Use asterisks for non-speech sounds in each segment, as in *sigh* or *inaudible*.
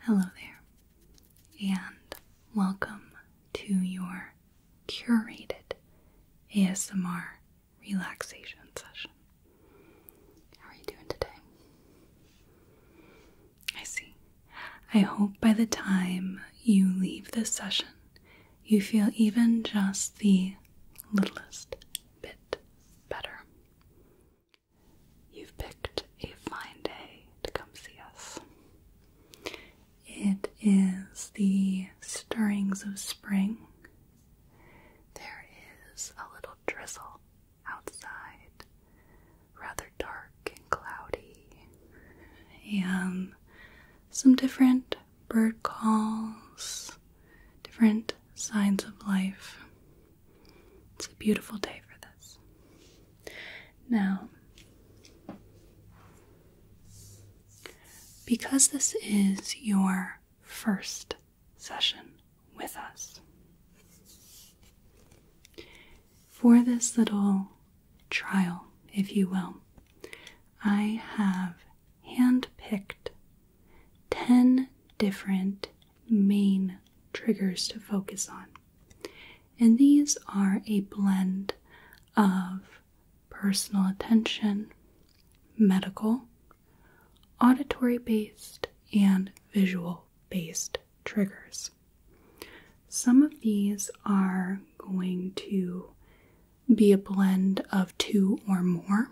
Hello there, and welcome to your curated ASMR relaxation session. How are you doing today? I see. I hope by the time you leave this session, you feel even just the littlest bit better. You've picked a fine day to come see us. It is the stirrings of spring. There is a little drizzle outside, rather dark and cloudy, and some different bird calls, different signs of life. It's a beautiful day for this. Now, because this is your first session with us, for this little trial, if you will, I have handpicked 10 different main triggers to focus on. And these are a blend of personal attention, medical, auditory based, and visual based triggers. Some of these are going to be a blend of two or more.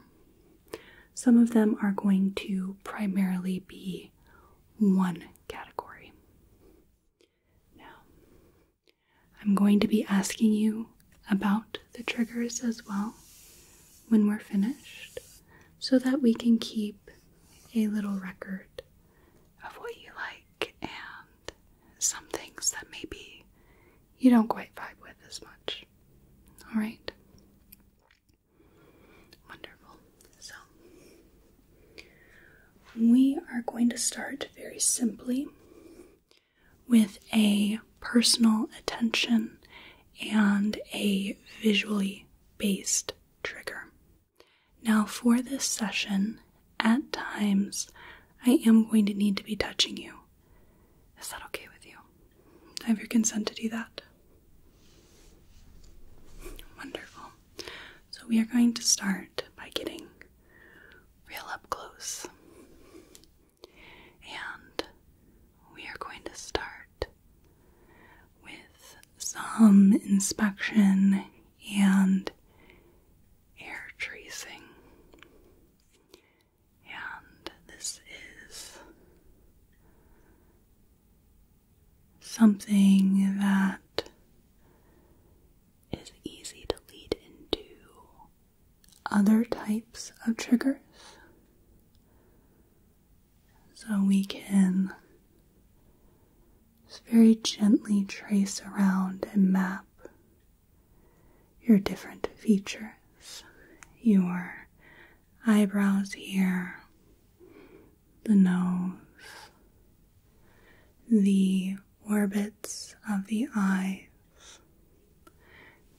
Some of them are going to primarily be one category. Now, I'm going to be asking you about the triggers as well when we're finished so that we can keep a little record of what you like and some things that maybe you don't quite vibe with as much. Alright? Wonderful. So, we are going to start very simply with a personal attention and a visually based trigger. Now, for this session, at times I am going to need to be touching you. Is that okay with you? I have your consent to do that. Wonderful. So we are going to start by getting real up close. And we are going to start with some inspection and air tracing. And this is something that is easy to lead into other types of triggers. So we can very gently trace around and map your different features, your eyebrows here, the nose, the orbits of the eyes,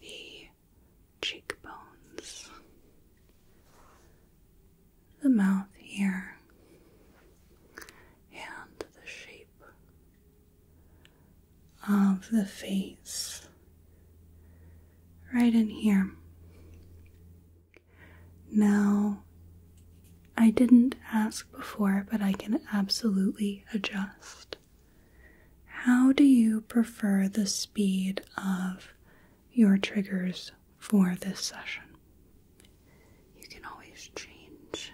the cheekbones, the mouth here, and the shape of the face right in here. Now, I didn't ask before, but I can absolutely adjust. How do you prefer the speed of your triggers for this session? You can always change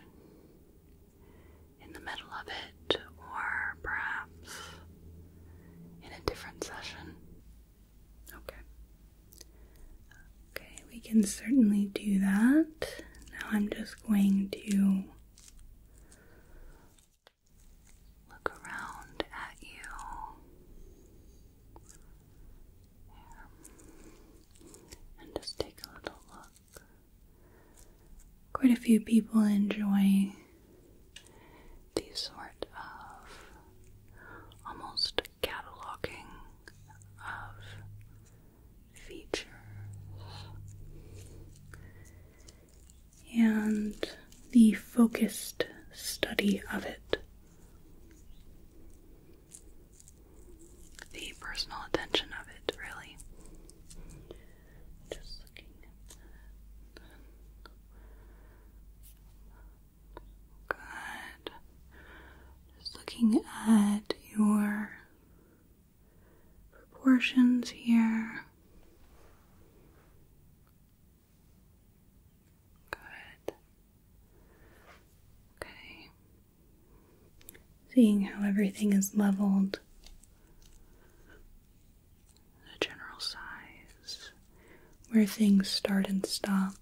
in the middle of it, or perhaps in a different session. Okay. Okay, we can certainly do that. Now I'm just going to look around at you. And just take a little look. Quite a few people enjoy these sort of almost cataloging of features. And the focused study of it. The personal attention of it, really. Good. Just looking at your proportions here. Good. Okay. Seeing how everything is leveled, the general size where things start and stop,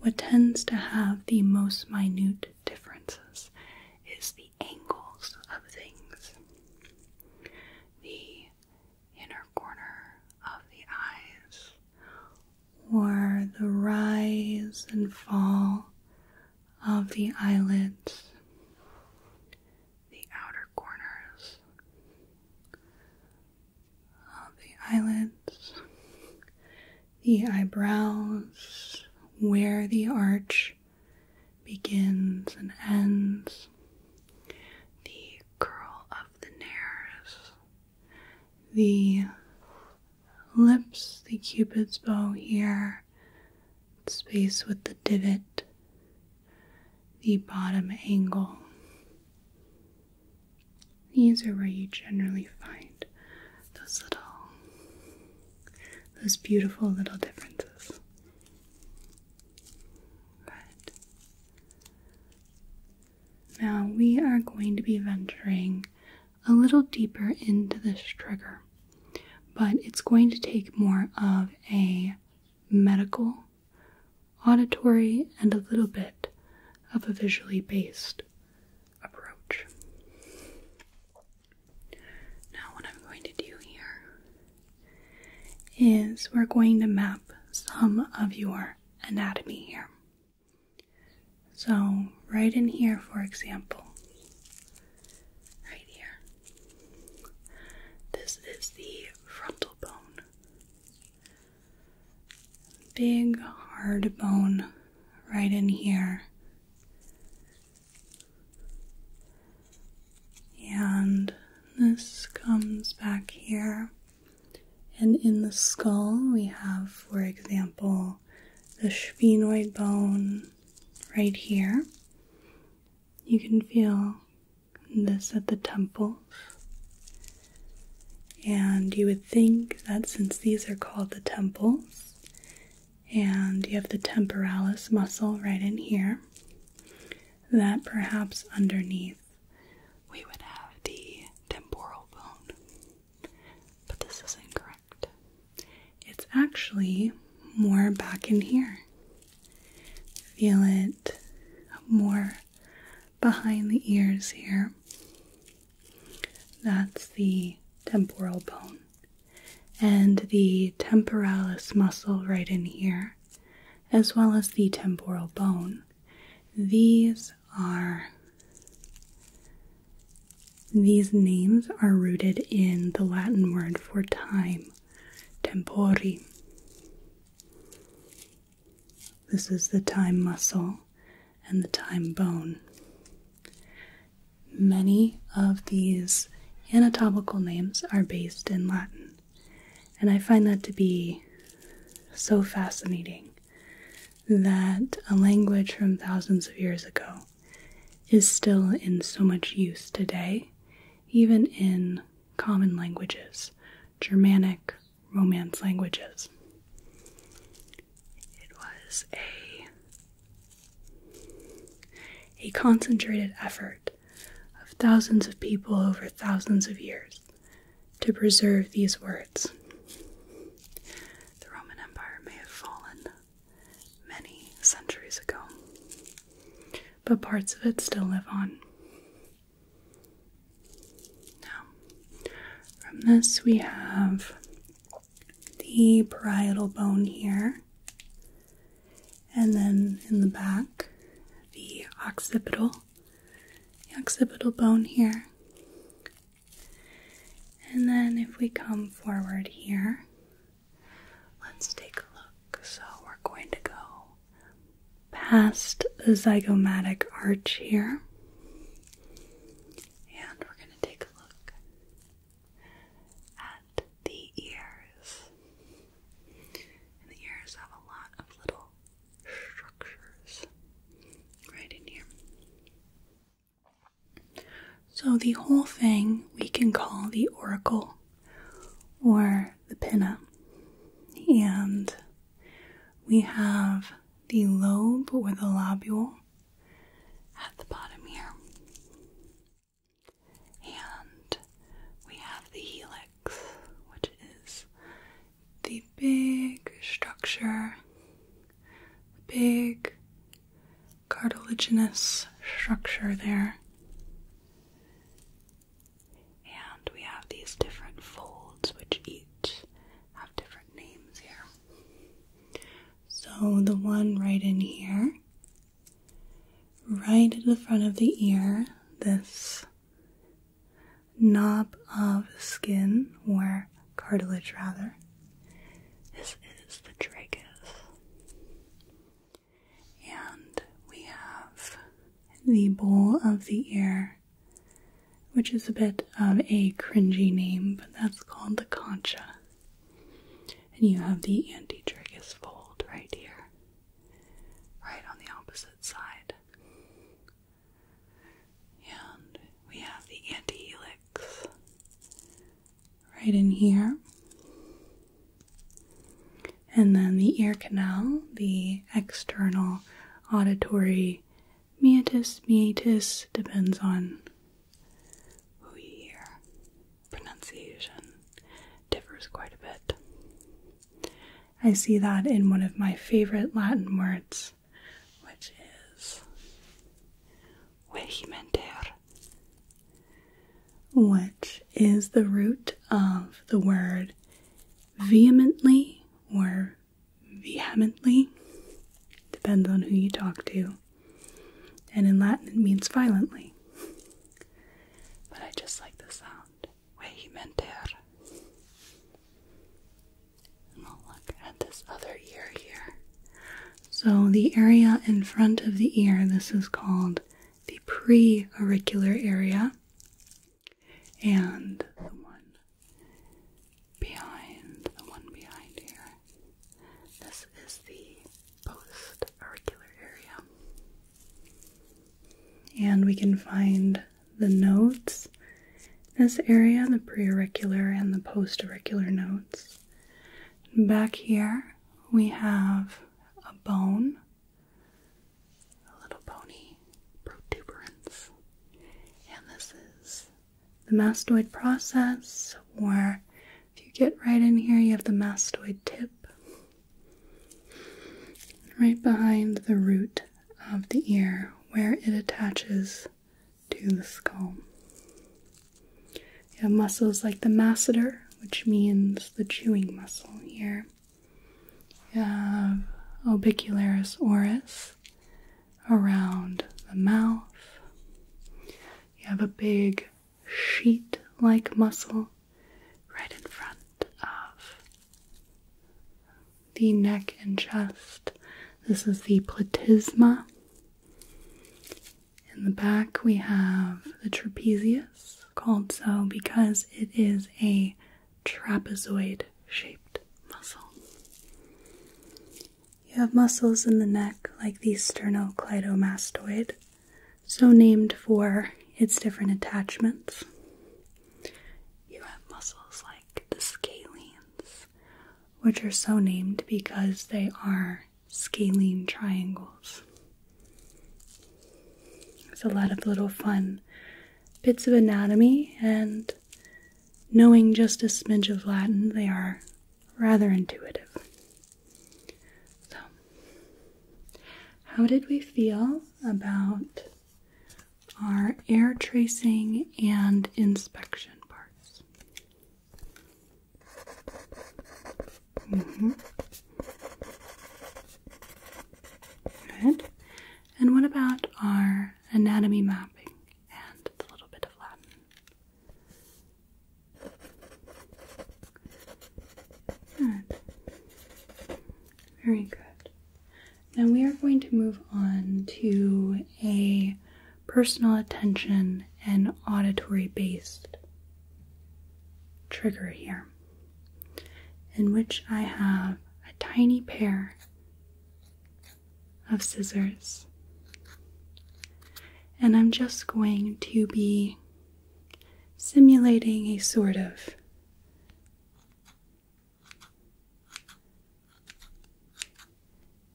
what tends to have the most minute differences is the angles of things. The inner corner of the eyes, or the rise and fall of the eyelids, the outer corners, the eyelids, the eyebrows, where the arch begins and ends, the curl of the nares, the lips, the cupid's bow here, space with the divot, the bottom angle. These are where you generally find those little, those beautiful little differences. But now we are going to be venturing a little deeper into this trigger, but it's going to take more of a medical auditory and a little bit of a visually based approach. Now, what I'm going to do here is we're going to map some of your anatomy here. So, right in here, for example, right here, this is the frontal bone big hard bone right in here. And this comes back here. And in the skull, we have, for example, the sphenoid bone right here. You can feel this at the temples. And you would think that since these are called the temples, and you have the temporalis muscle right in here, that perhaps underneath we would have the temporal bone. But this is incorrect. It's actually more back in here. Feel it more behind the ears here. That's the temporal bone. And the temporalis muscle right in here, as well as the temporal bone. These are these names are rooted in the Latin word for time, tempori. This is the time muscle and the time bone. Many of these anatomical names are based in Latin, and I find that to be so fascinating that a language from thousands of years ago is still in so much use today, even in common languages Germanic, Romance languages. It was a a concentrated effort of thousands of people over thousands of years to preserve these words. The Roman Empire may have fallen many centuries ago, but parts of it still live on. Now, from this, we have the parietal bone here, and then in the back, the occipital, the occipital bone here. And then, if we come forward here, let's take a look. So, we're going to go past the zygomatic arch here. And we're going to take a look at the ears. And the ears have a lot of little structures right in here. So, the whole thing we can call the oracle or the pinna. And we have the lobe or the lobule at the bottom here. And we have the helix, which is the big structure, the big cartilaginous structure there. And we have these different folds, which each have different names here. So the one right in here, right at the front of the ear, this knob of skin, or cartilage rather, this is the tragus. And we have the bowl of the ear which is a bit of a cringy name, but that's called the concha. And you have the antitragus fold right here, right on the opposite side. And we have the antihelix right in here. And then the ear canal, the external auditory meatus, meatus depends on who you hear. Pronunciation differs quite a bit. I see that in one of my favorite Latin words, which is vehimenter, which is the root of the word vehemently or vehemently, depends on who you talk to, and in Latin it means violently. But I just like the sound vehementer. And we'll look at this other ear here. So, the area in front of the ear, this is called the preauricular area and the one behind, the one behind here. This is the post area. And we can find the notes this area, the preauricular and the postauricular notes. Back here we have a bone a little bony protuberance. And this is the mastoid process, where if you get right in here, you have the mastoid tip right behind the root of the ear where it attaches to the skull. You have muscles like the masseter, which means the chewing muscle here, you have orbicularis oris around the mouth. You have a big sheet like muscle right in front of the neck and chest. This is the platysma. In the back, we have the trapezius, called so because it is a trapezoid shaped muscle. You have muscles in the neck like the sternocleidomastoid, so named for its different attachments. You have muscles like the scalenes, which are so named because they are scalene triangles. It's a lot of little fun bits of anatomy and knowing just a smidge of Latin, they are rather intuitive. So, how did we feel about our air tracing and inspection parts? Mm-hmm. Good. And what about our anatomy mapping and a little bit of Latin. Very good. Now we are going to move on to a personal attention and auditory based trigger here, in which I have a tiny pair of scissors. And I'm just going to be simulating a sort of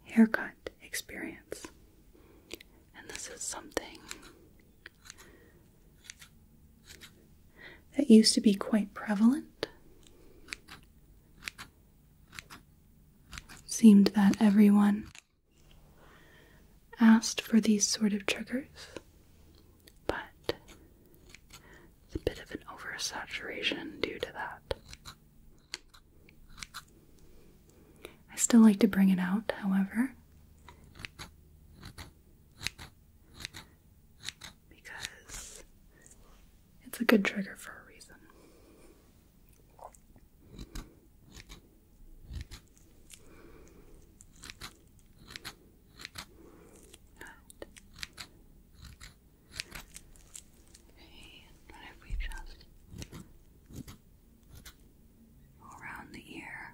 haircut experience. And this is something that used to be quite prevalent Seemed that everyone asked for these sort of triggers, but it's a bit of an oversaturation due to that. I still like to bring it out, however because it's a good trigger for a reason. Okay, what if we just go around the ear?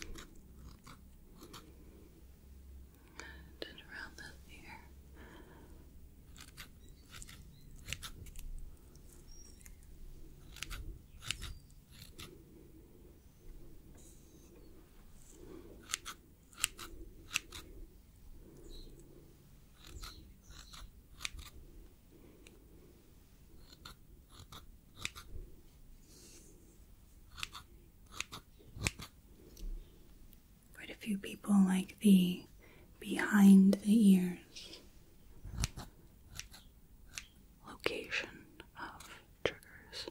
Good, and around that ear. Quite a few people like the behind the ears location of triggers.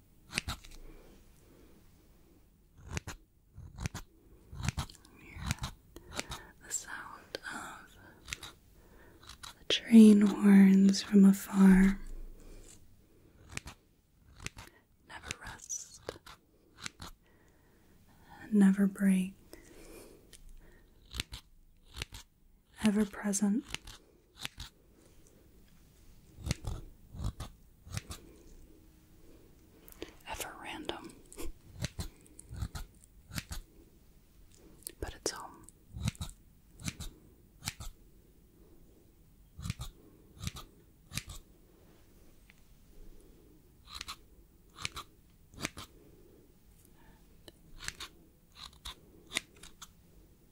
the sound of the train horns from afar never rest, never break, ever present. Ever random. But it's home.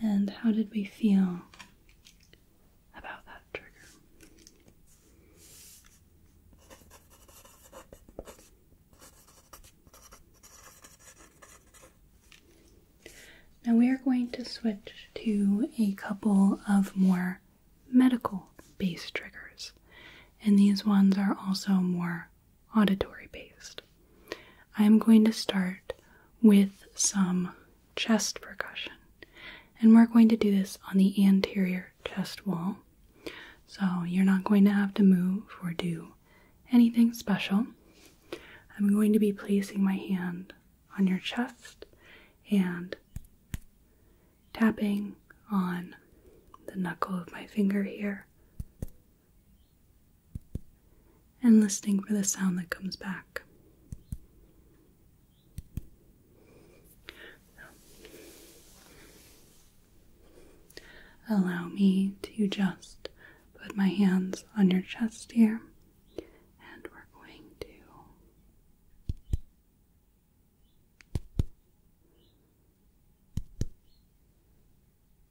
And how did we feel about that trigger? Now we are going to switch to a couple of more medical based triggers, and these ones are also more auditory based. I am going to start with some chest percussion, and we're going to do this on the anterior chest wall. So you're not going to have to move or do anything special. I'm going to be placing my hand on your chest and tapping on the knuckle of my finger here and listening for the sound that comes back. allow me to just put my hands on your chest here, and we're going to.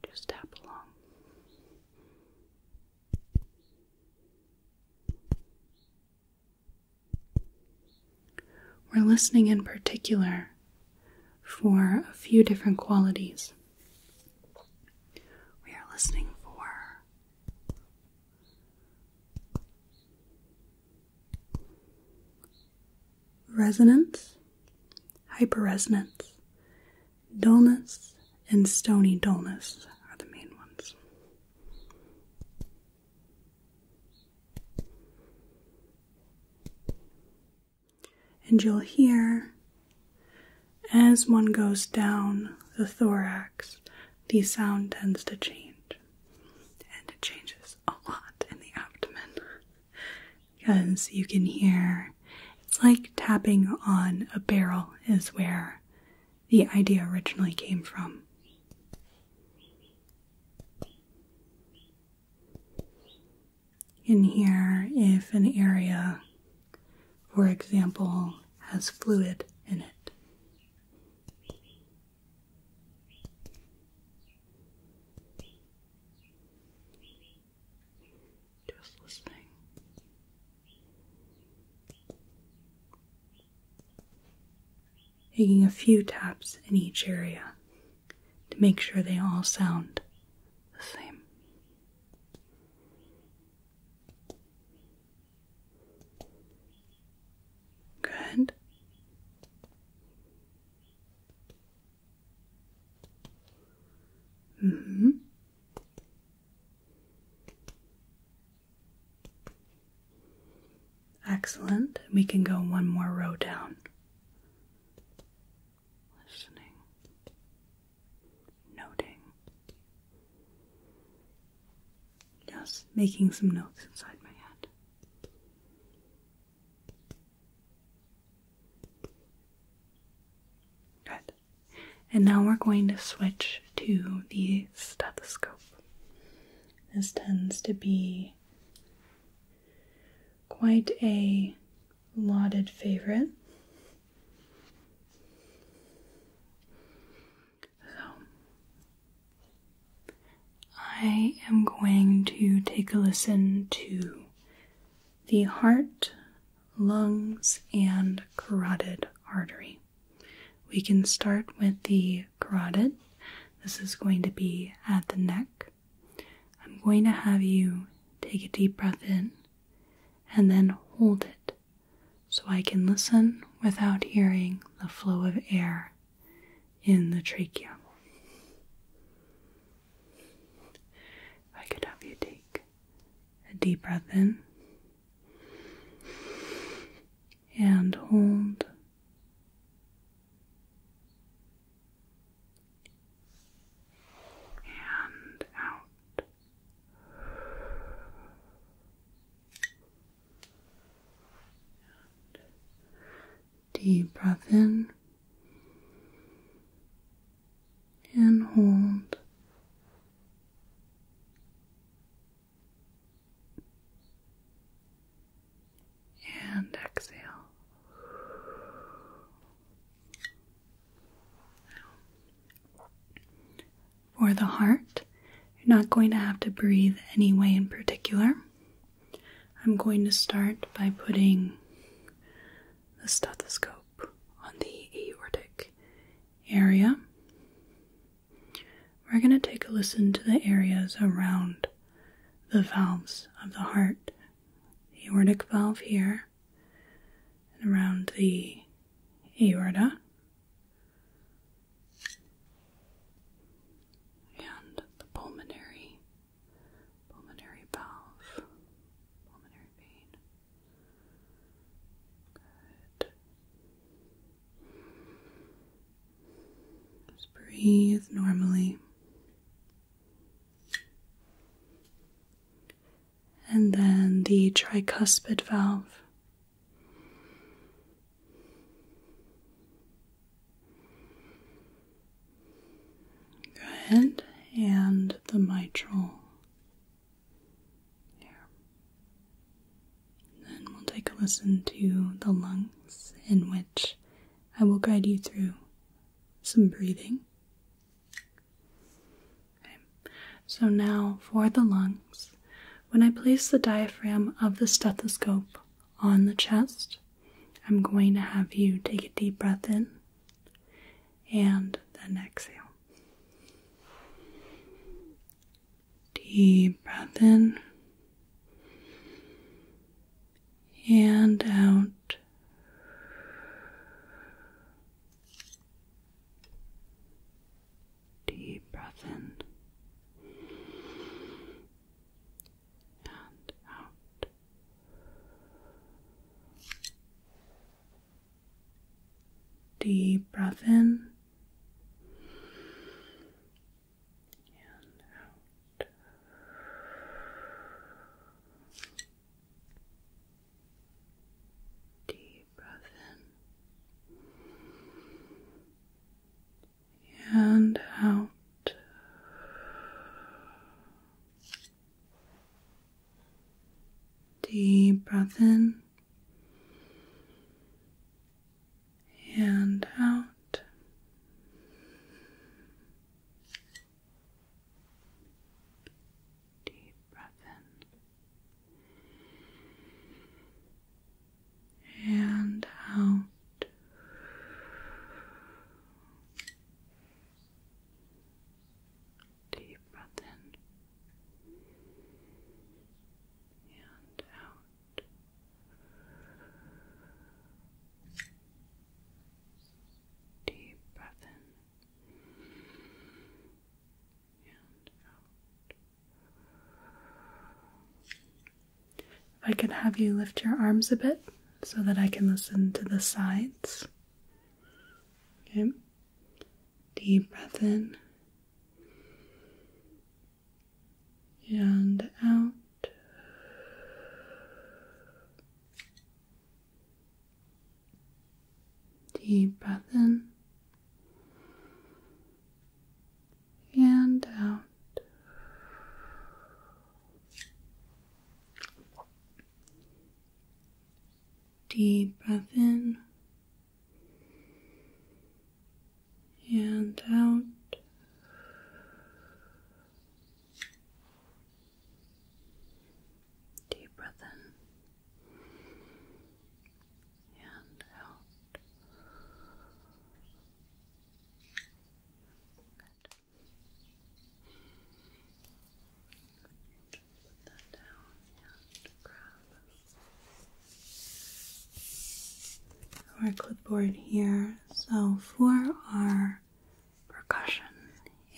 Just tap along. We're listening in particular for a few different qualities. We are listening for resonance, hyperresonance, dullness, and stony dullness are the main ones. And you'll hear as one goes down the thorax, the sound tends to change. And it changes a lot in the abdomen because you can hear it's like tapping on a barrel, is where the idea originally came from. In here, if an area, for example, has fluid in it. Just listening. Taking a few taps in each area to make sure they all sound the same. Good. Mm-hmm. Excellent. We can go one more row down. Listening. Noting. Yes, making some notes inside my head. Good. And now we're going to switch to the stethoscope. This tends to be quite a lauded favorite. So, I am going to take a listen to the heart lungs, and carotid artery. We can start with the carotid. This is going to be at the neck. I'm going to have you take a deep breath in and then hold it so I can listen without hearing the flow of air in the trachea. I could have you take a deep breath in and hold. And out. deep breath in and hold. And exhale. For the heart, you're not going to have to breathe any way in particular. I'm going to start by putting the stethoscope on the aortic area. We're going to take a listen to the areas around the valves of the heart. aortic valve here, and around the aorta, and the pulmonary pulmonary valve, pulmonary vein. Good. breathe normally. And then the tricuspid valve. Go ahead and the mitral Then we'll take a listen to the lungs, in which I will guide you through some breathing. So now for the lungs. When I place the diaphragm of the stethoscope on the chest, I'm going to have you take a deep breath in and then exhale. Deep breath in and out. Deep breath in and out. Deep breath in and out. Deep breath in and out. Deep breath in and out. Deep breath in and out. Deep breath in and out. Deep breath in and out. If I could have you lift your arms a bit so that I can listen to the sides. Okay. Deep breath in and out. Deep breath in and out. Deep breath in and out. Deep breath in and out. Just our clipboard here. So, for our percussion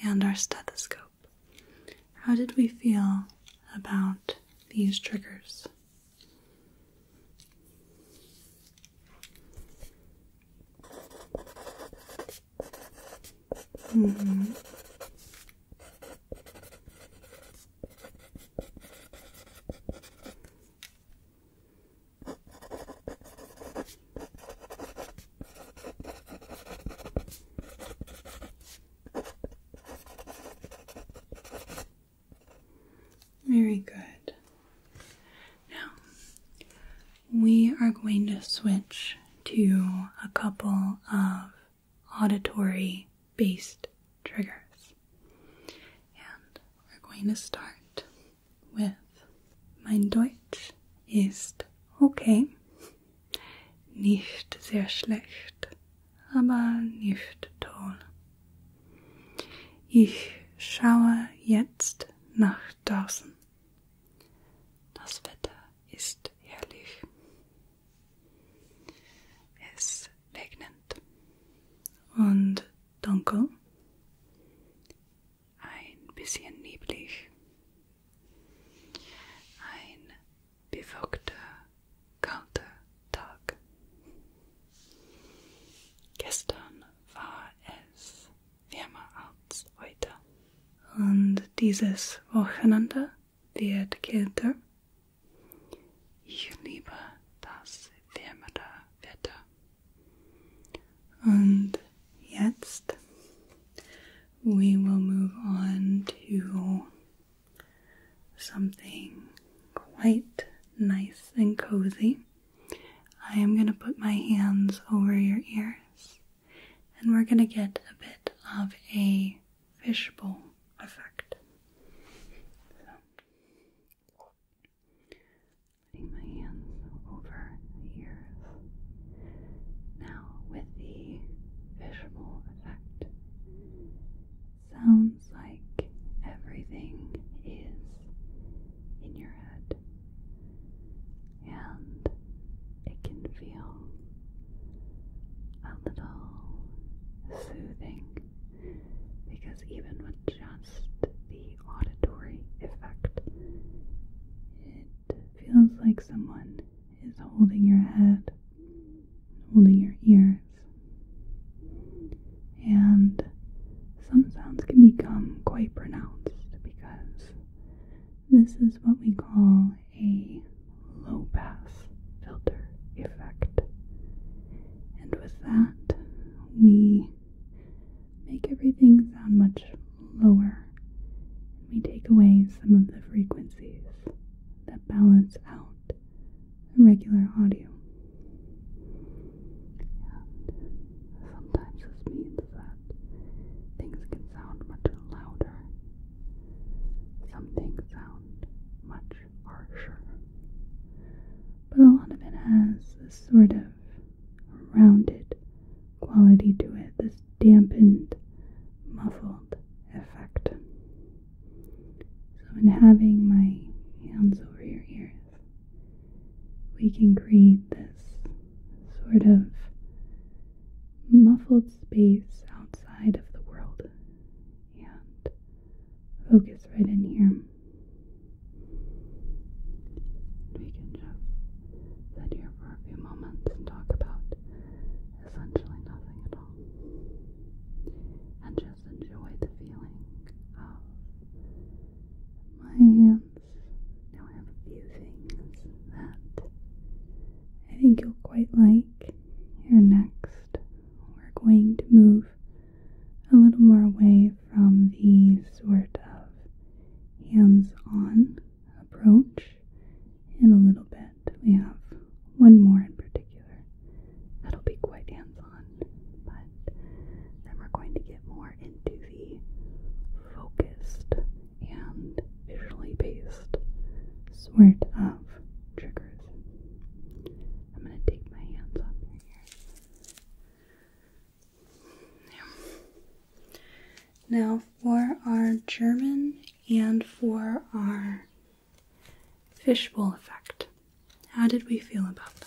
and our stethoscope, how did we feel about these triggers? Mm-hmm. Very good. Now, we are going to switch to a couple of auditory based triggers. And we're going to start with Mein Deutsch ist okay. Nicht sehr schlecht, aber nicht toll. Ich schaue jetzt nach draußen. Das Wetter ist ist herrlich. Es regnet und dunkel, ein bisschen neblig, ein bewölkter, kalter Tag. Gestern war es Firmaarzt heute. Und dieses Wochenende wird kälter. Ich liebe das wärmere Wetter. And jetzt, we will move on to something quite nice and cozy. I am going to put my hands over your ears and we're going to get a bit of a fishbowl effect. putting my hands over the Now, with the fishbowl effect, sounds like everything is in your head and it can feel a little soothing because even with just the auditory effect, it feels like someone is holding your head, holding your ears. And some sounds can become quite pronounced because this is what we call a low pass filter effect. And with that, we make everything sound much lower. We take away some of the frequencies that balance out regular audio. And sometimes this means that things can sound much louder. Some things sound much harsher. But a lot of it has this sort of rounded quality to it, this dampened, muffled effect. So, in having my hands over your ears, we can create this sort of muffled space outside of the world and focus right in here. We can just sit here for a few moments and talk about essentially nothing at all. And just enjoy the feeling of my hands. Now I I think you'll quite like your next. We're going to move a little more away from the sort of hands on approach and a little bit. We have one more in particular that'll be quite hands on, but then we're going to get more into the focused and visually based sort of triggers. I'm going to take my hands up here. Now, for our German and for our fishbowl effect, how did we feel about that?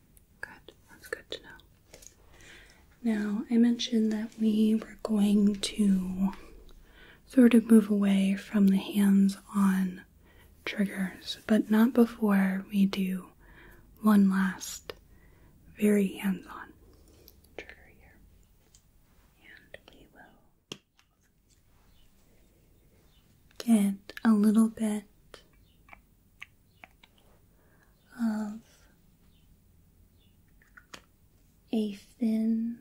Good, that's good to know. Now, I mentioned that we were going to sort of move away from the hands on triggers, but not before we do one last very hands on trigger here. And we will get a little bit of a thin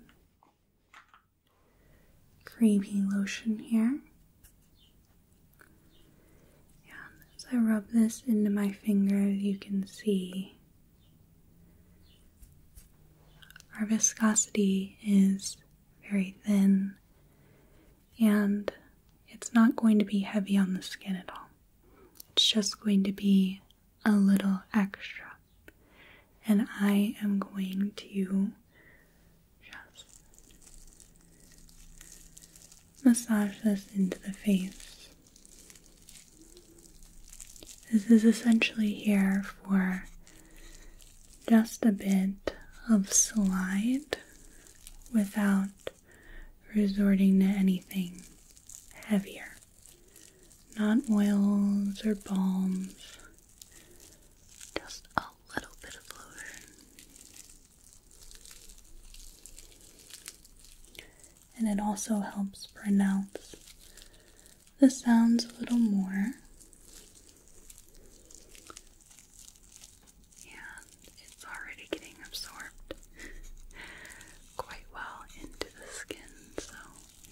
creamy lotion here. And as I rub this into my fingers, you can see our viscosity is very thin and it's not going to be heavy on the skin at all. It's just going to be a little extra. And I am going to just massage this into the face. This is essentially here for just a bit of slide without resorting to anything heavier. Not oils or balms, just a little bit of lotion. And it also helps pronounce the sounds a little more and it's already getting absorbed *laughs* quite well into the skin, so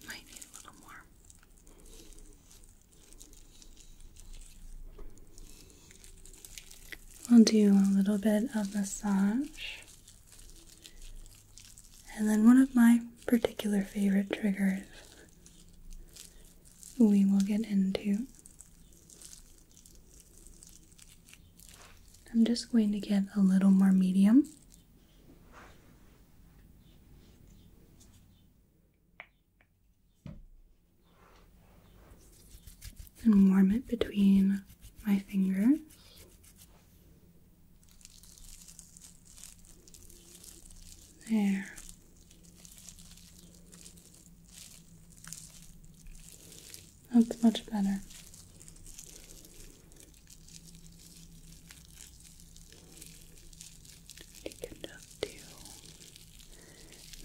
might need a little more. We'll do a little bit of massage. And then one of my particular favorite triggers we will get into I'm just going to get a little more medium. And warm it between my fingers. There. That's much better. Deconduct you.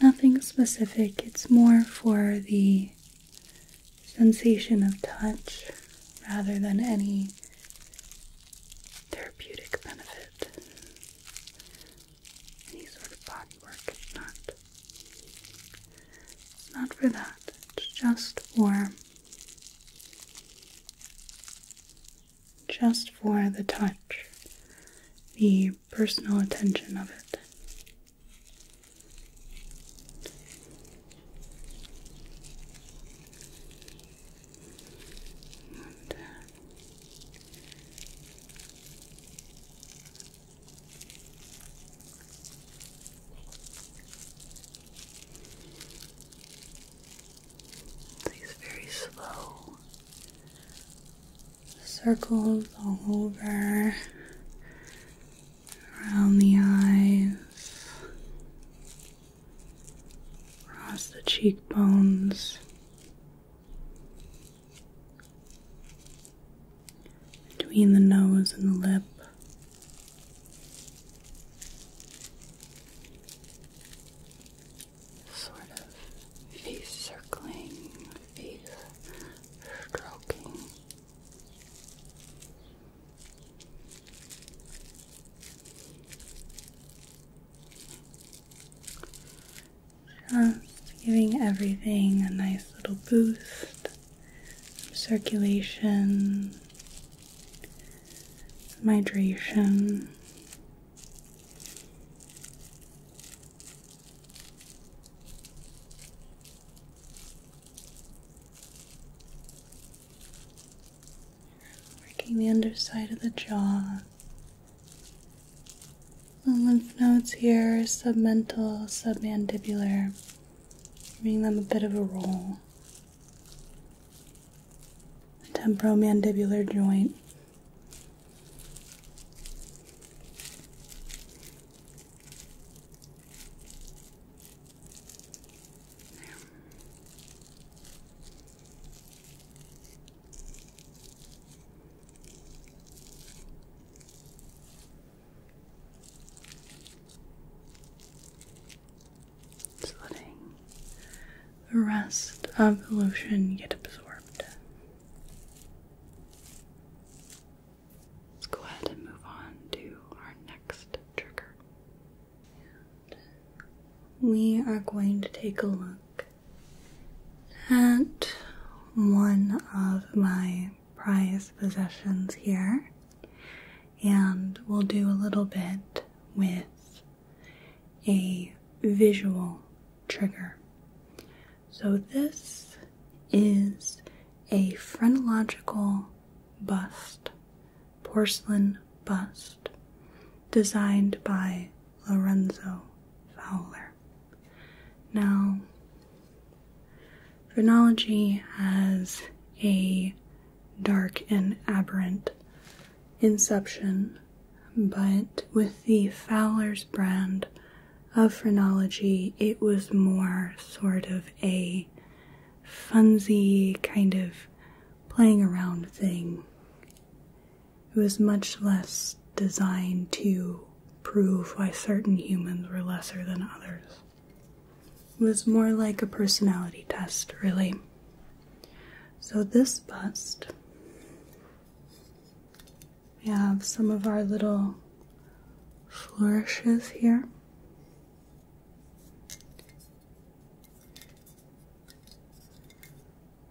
Nothing specific, it's more for the sensation of touch rather than any therapeutic benefit any sort of body work. is not. It's not for that. It's just for. Just for the touch, the personal attention of it. Uh, these very slow circles all over around the eyes, across the cheekbones between the nose and the lip. Sort of face circling, face stroking giving everything a nice little boost, circulation, some hydration. Working the underside of the jaw, the lymph nodes here, submental, submandibular, giving them a bit of a roll. The temporomandibular joint letting the rest of the lotion get absorbed. Let's go ahead and move on to our next trigger. we are going to take a look and one of my prized possessions here, and we'll do a little bit with a visual trigger. So, this is a phrenological bust, porcelain bust, designed by Lorenzo Fowler. Now, phrenology has a dark and aberrant inception, but with the Fowler's brand of phrenology, it was more sort of a funsy kind of playing around thing. It was much less designed to prove why certain humans were lesser than others. It was more like a personality test, really. So, this bust, we have some of our little flourishes here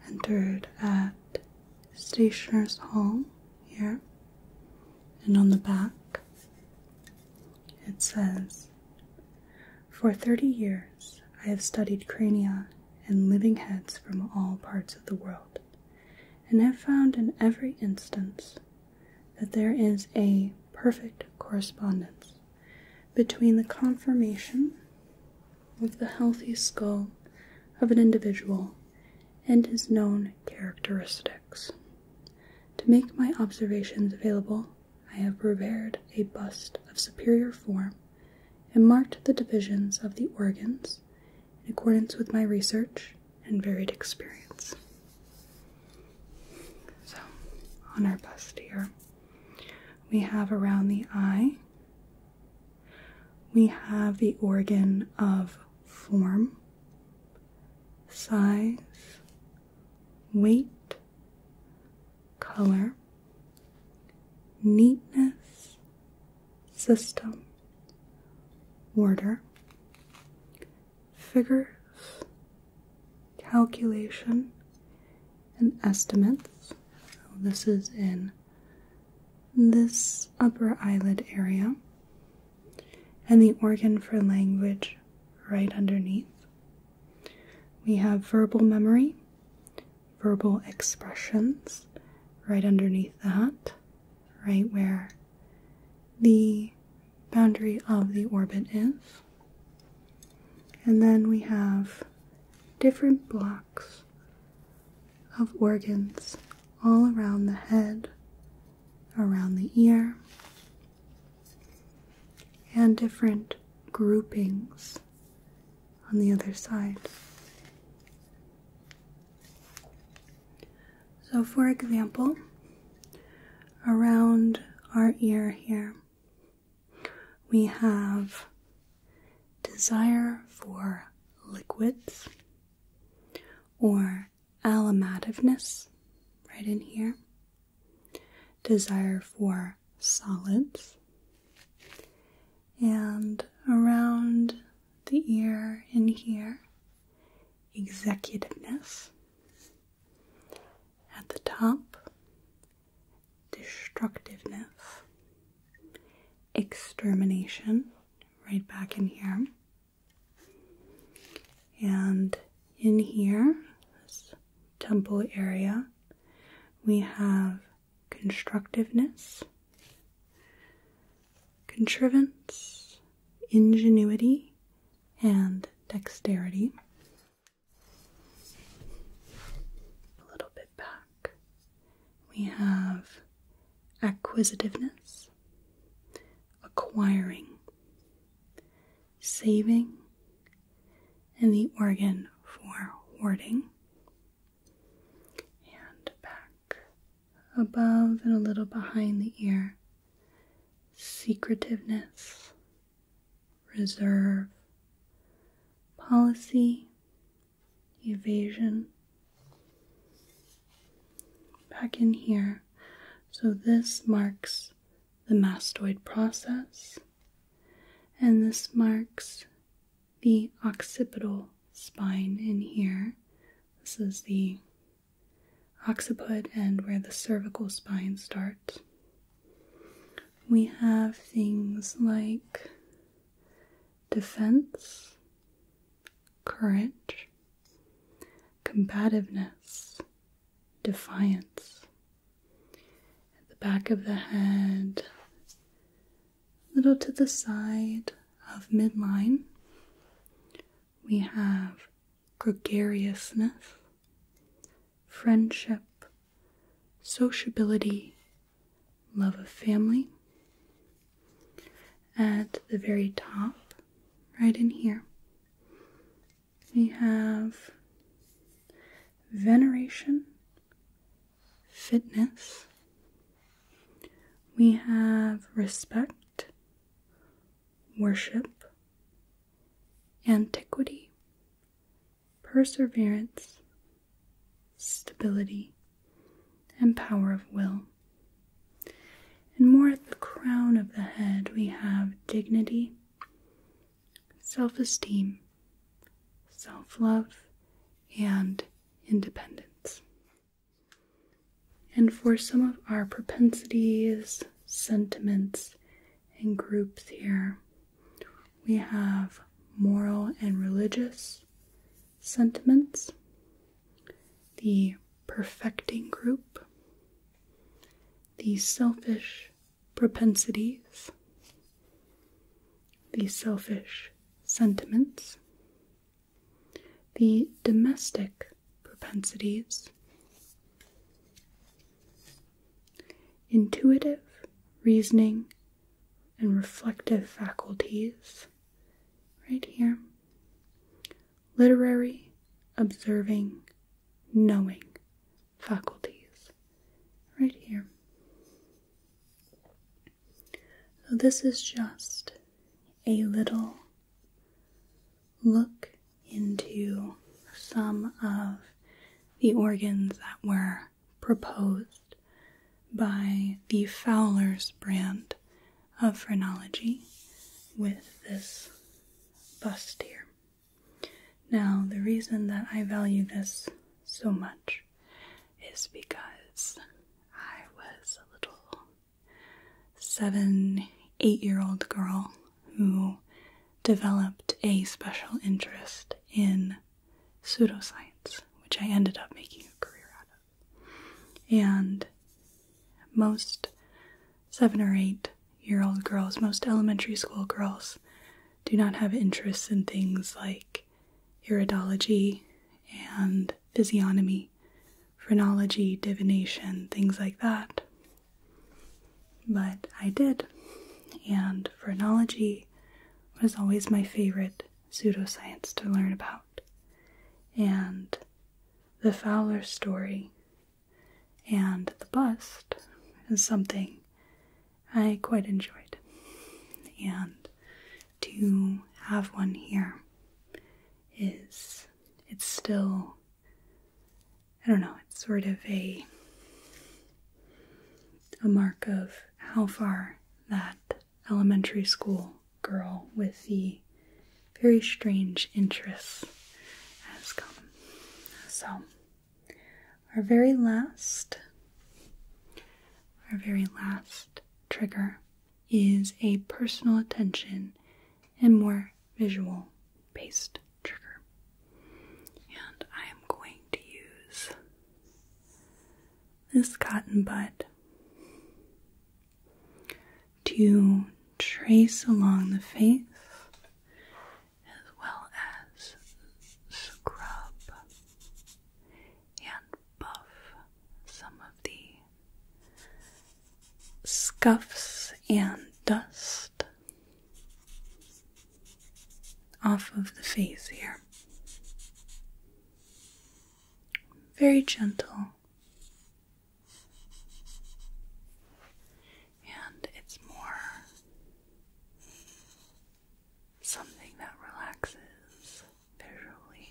entered at Stationers Hall here, and on the back it says, For 30 years I have studied crania and living heads from all parts of the world, and have found in every instance that there is a perfect correspondence between the conformation with the healthy skull of an individual and his known characteristics. To make my observations available, I have prepared a bust of superior form and marked the divisions of the organs in accordance with my research and varied experience. So, on our bust here, we have around the eye we have the organ of form, size, weight, color, neatness, system, order, figures, calculation, and estimates. this is in this upper eyelid area, and the organ for language right underneath. We have verbal memory, verbal expressions right underneath that, right where the boundary of the orbit is. And then we have different blocks of organs all around the head, around the ear, and different groupings on the other side. So, for example, around our ear here, we have desire for liquids or alamativeness, right in here, desire for solids, and around the ear in here, executiveness, at the top, destructiveness, extermination right back in here. And in here, this temple area, we have constructiveness, contrivance, ingenuity, and dexterity. A little bit back. We have acquisitiveness, acquiring, saving, and the organ for warding. And back above and a little behind the ear, secretiveness, reserve, policy, evasion back in here. So this marks the mastoid process, and this marks the occipital spine in here. This is the occiput and where the cervical spine starts. We have things like defense courage, combativeness, defiance. At the back of the head, a little to the side of midline, we have gregariousness, friendship, sociability, love of family. At the very top, right in here, we have veneration, fitness, we have respect, worship, antiquity, perseverance, stability, and power of will. And more at the crown of the head, we have dignity, self esteem, self love, and independence. And for some of our propensities, sentiments, and groups here, we have moral and religious, sentiments, the perfecting group, the selfish propensities, the selfish sentiments, the domestic propensities, intuitive reasoning and reflective faculties, right here literary, observing, knowing faculties, right here. So, this is just a little look into some of the organs that were proposed by the Fowler's brand of phrenology with this bust here. Now, the reason that I value this so much is because I was a little seven, eight year old girl who developed a special interest in pseudoscience, which I ended up making a career out of. And most seven or eight year old girls, most elementary school girls, do not have interests in things like iridology and physiognomy, phrenology, divination, things like that. But I did, and phrenology was always my favorite pseudoscience to learn about and the Fowler story and the bust is something I quite enjoyed. And to have one here is, it's still, I don't know, it's sort of a, a mark of how far that elementary school girl with the very strange interests has come. So, our very last, our very last trigger is a personal attention and more visual based trigger. And I am going to use this cotton bud to trace along the face as well as scrub and buff some of the scuffs and dust off of the face here very gentle. And it's more something that relaxes visually.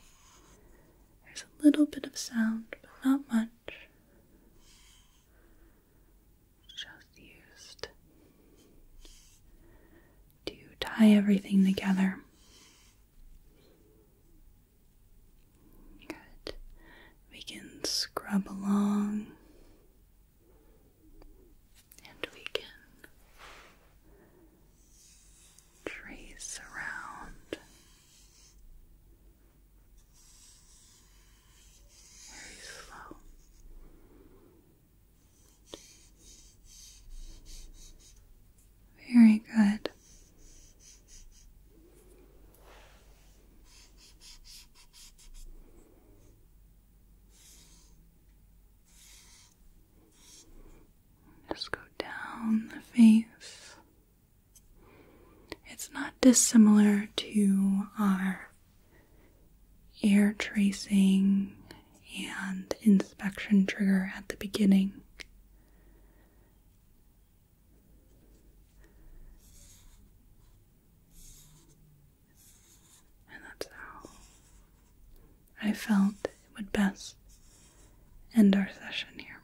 There's a little bit of sound, but not much. Just used to tie everything together. Good. We can scrub along and we can trace around very slow. Very good. Just go down the face. It's not dissimilar to our air tracing and inspection trigger at the beginning. And that's I felt it would best end our session here.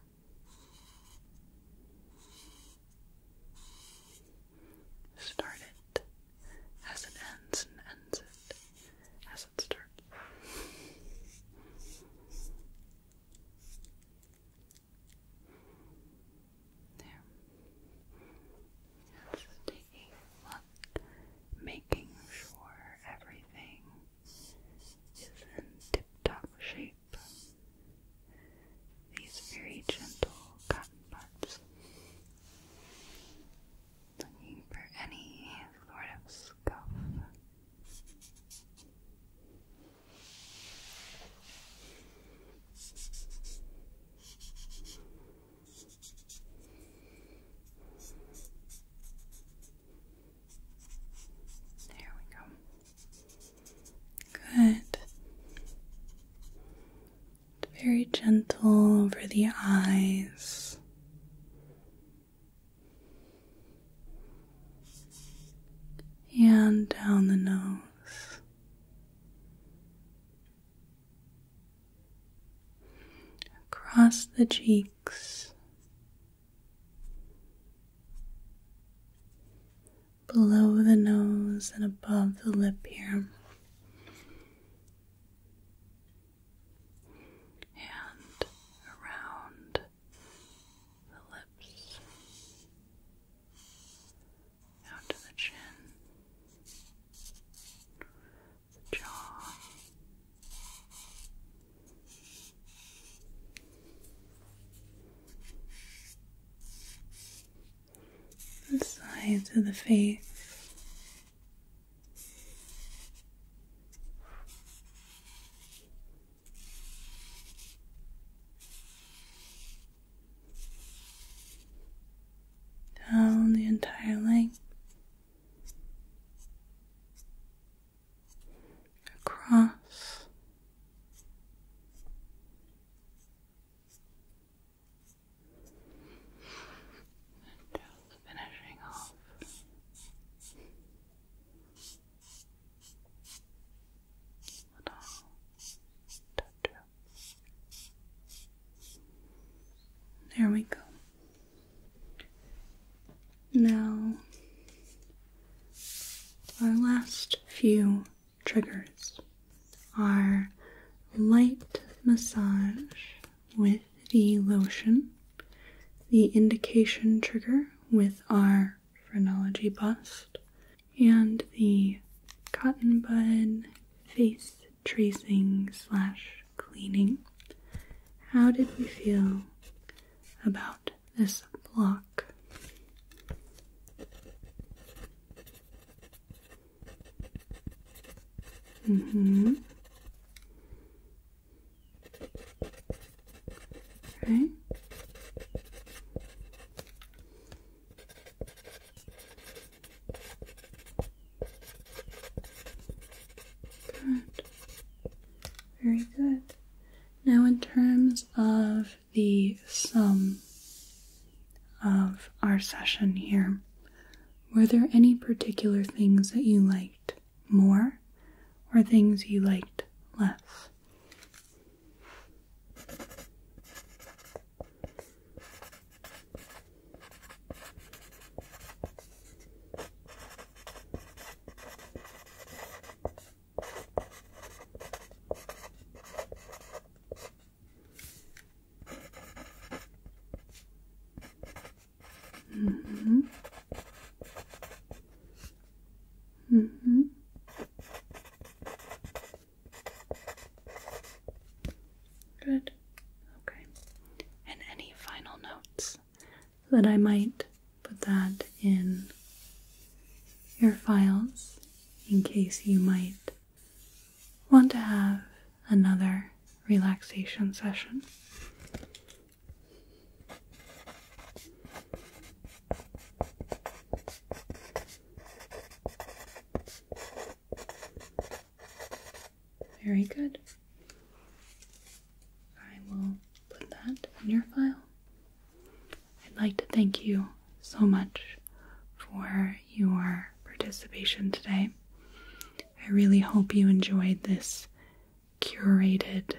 Start it as it ends and ends it as its turn. taking a look, making sure everything is in tip-top shape. These very gentle cotton buds. Looking for any sort of scuff there we go. Good. Very gentle over the eyes and down the nose. Across the cheeks, below the nose, and above the lip here. And around the lips, down to the chin, jaw. The sides of the face, down the entire length across finishing off there we go. Now, our last few triggers are light massage with the lotion, the indication trigger, with our phrenology bust and the cotton bud face tracing slash cleaning. How did we feel about this block? Mm-hmm. Okay. Good. Very good. Now, in terms of the sum of our session here, were there any particular things that you liked? more or things you liked less? Mm-hmm. Mm-hmm. Good. Okay. And any final notes that I might put that in your files in case you might want to have another relaxation session. Very good. I will put that in your file. I'd like to thank you so much for your participation today. I really hope you enjoyed this curated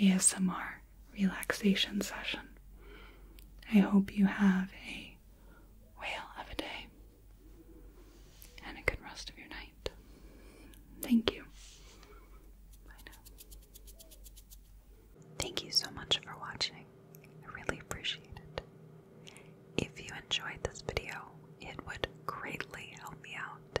ASMR relaxation session. I hope you have a whale of a day and a good rest of your night. Thank you. Bye now. Thank you so much for watching. I really appreciate it. If you enjoyed this video, it would greatly help me out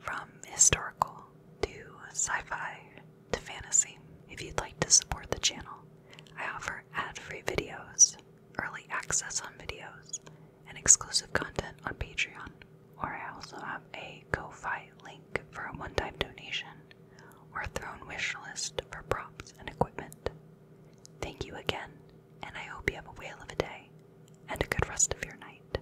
from historical to sci fi to fantasy. If you'd like to support the channel, I offer ad free videos, early access on videos, and exclusive content on Patreon, or I also have a Ko-Fi link for a one-time donation or a Throne wish list for props and equipment. Thank you again, and I hope you have a whale of a day and a good rest of your night.